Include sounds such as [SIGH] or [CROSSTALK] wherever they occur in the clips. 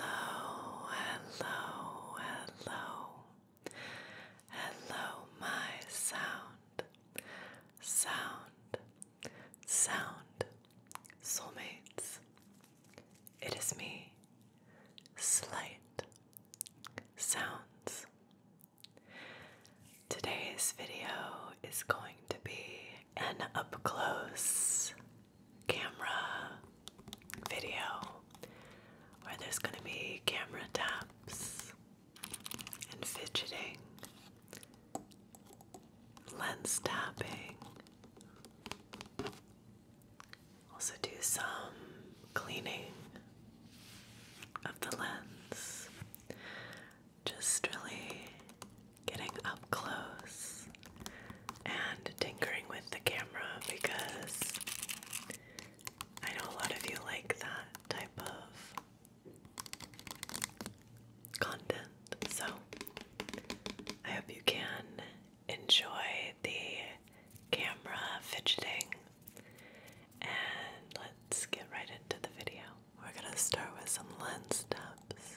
Hello, hello, hello. Hello, my sound, sound, sound, soulmates. It is me, Slight Sounds. Today's video is going to be an up close camera video there's going to be camera taps and fidgeting, lens tapping. Also, do some cleaning of the lens. Just really getting up close and tinkering with the camera because I know a lot of you like that type of content. So I hope you can enjoy the camera fidgeting and let's get right into the video. We're gonna start with some lens taps.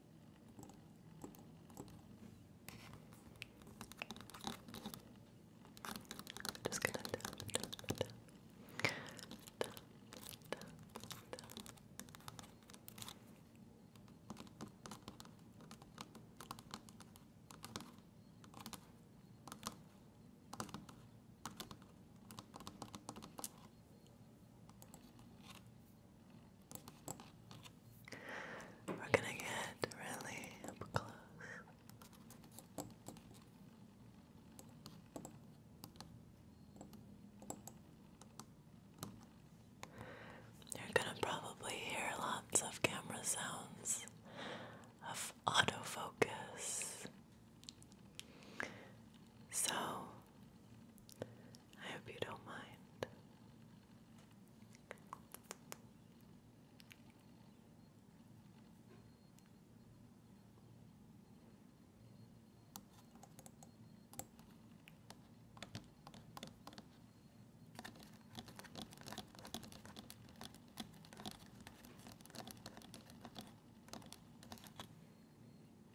Just gonna tap, tap, tap. Tap, tap, tap. Good. We're gonna get really close. You're gonna probably hear lots of camera sounds of autofocus. So I hope you don't mind.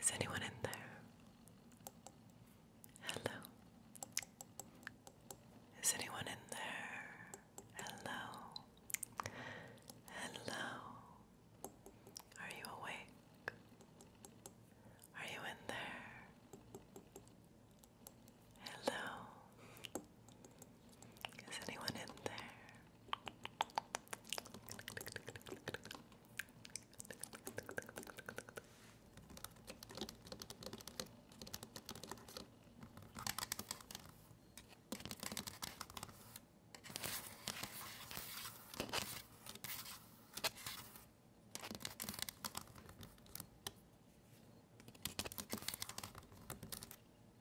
Is anyone in there? Hello. Is anyone in there? Hello. Hello. Are you awake? Are you in there? Hello. Is anyone in there?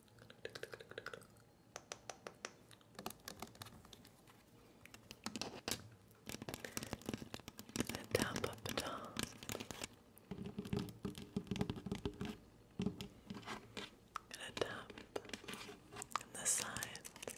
A tap up the top. And a tap on the sides. Good.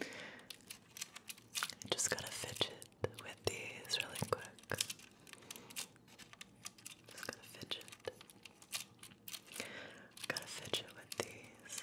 I just gotta fidget with these really quick. Just gotta fidget. Gotta fidget with these.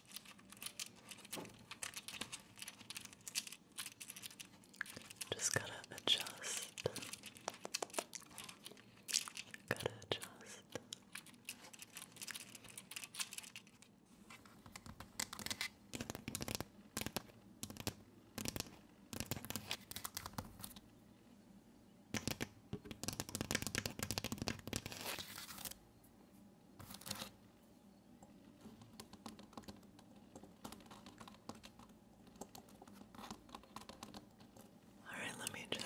Just gotta adjust. Gotta adjust. All right, let me just.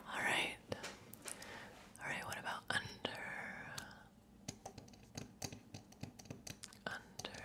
All right. All right, what about under? Under.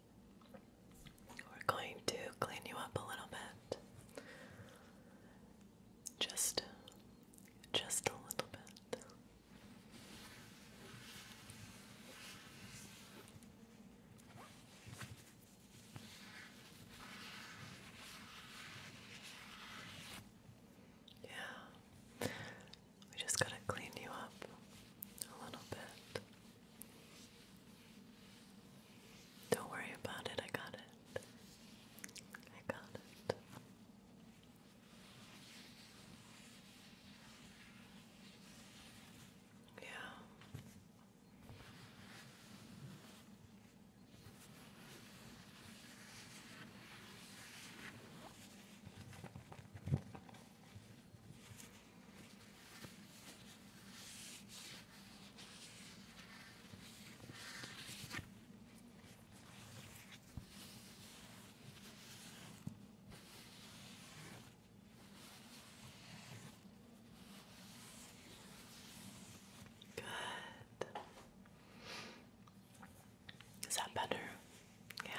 We're going to clean you up a little bit. Just just a little bit. Yeah. We just got to clean you up a little bit. Don't worry about it, I got it. I got it. Yeah. Good. Is that better? Yeah.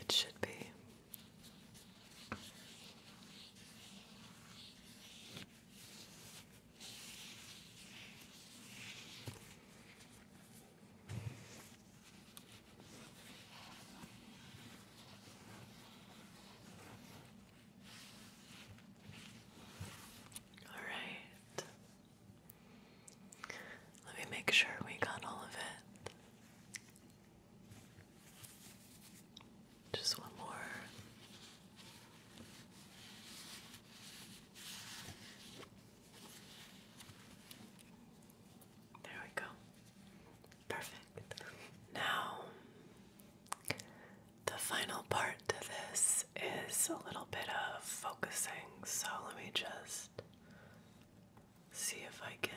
It should be. All right. Let me make sure we got all of it. Just one more. There we go. Perfect. Now the final part to this is a little bit of focusing, so let me just see if I can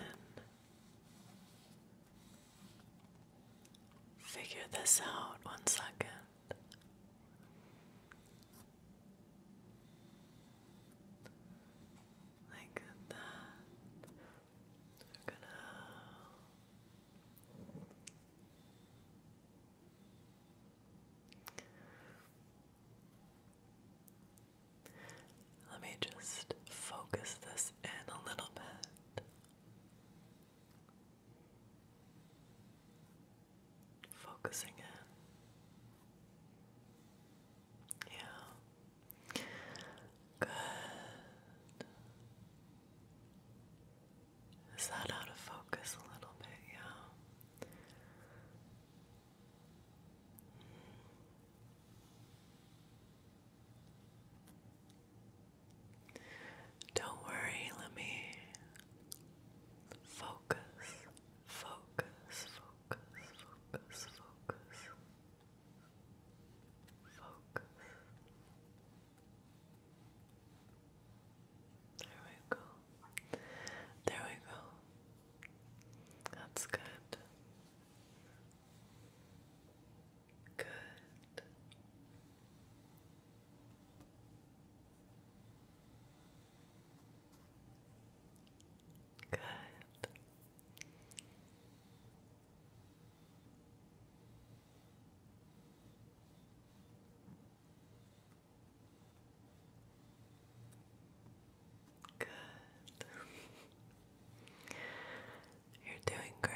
figure this out. One second. Like that. We're gonna let me just focus this in a little bit. Focusing in. Yeah. Good. Is that out of focus a little bit? Yeah. Don't worry, let me focus, focus, focus, focus, focus, focus. There we go. There we go. That's good. Good. Good. Good. You're doing great.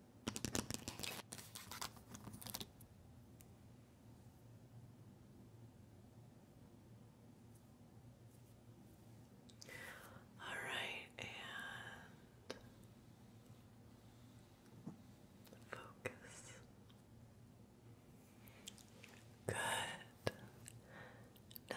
All right, and focus. Good. Now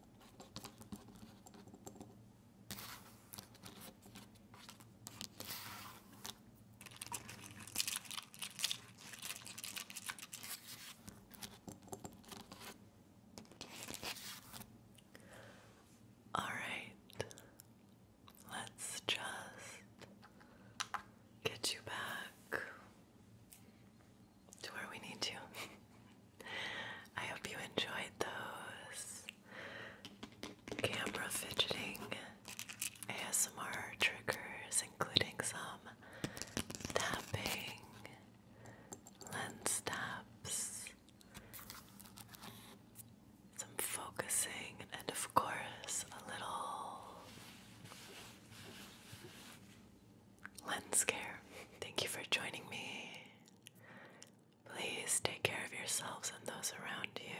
All right, let's just get you back to where we need to. [LAUGHS] I hope you enjoyed those camera fidgeting ASMR triggers, including some tapping, lens taps, some focusing, and of course, a little lens care. Thank you for joining me. Please take care of yourselves and those around you.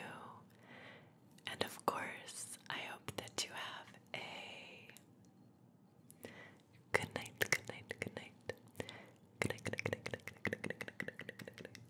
And of course, I hope that you have a good night, good night, good night. Good night, good night, good night, good night, good night, good night, good night, good night, good night.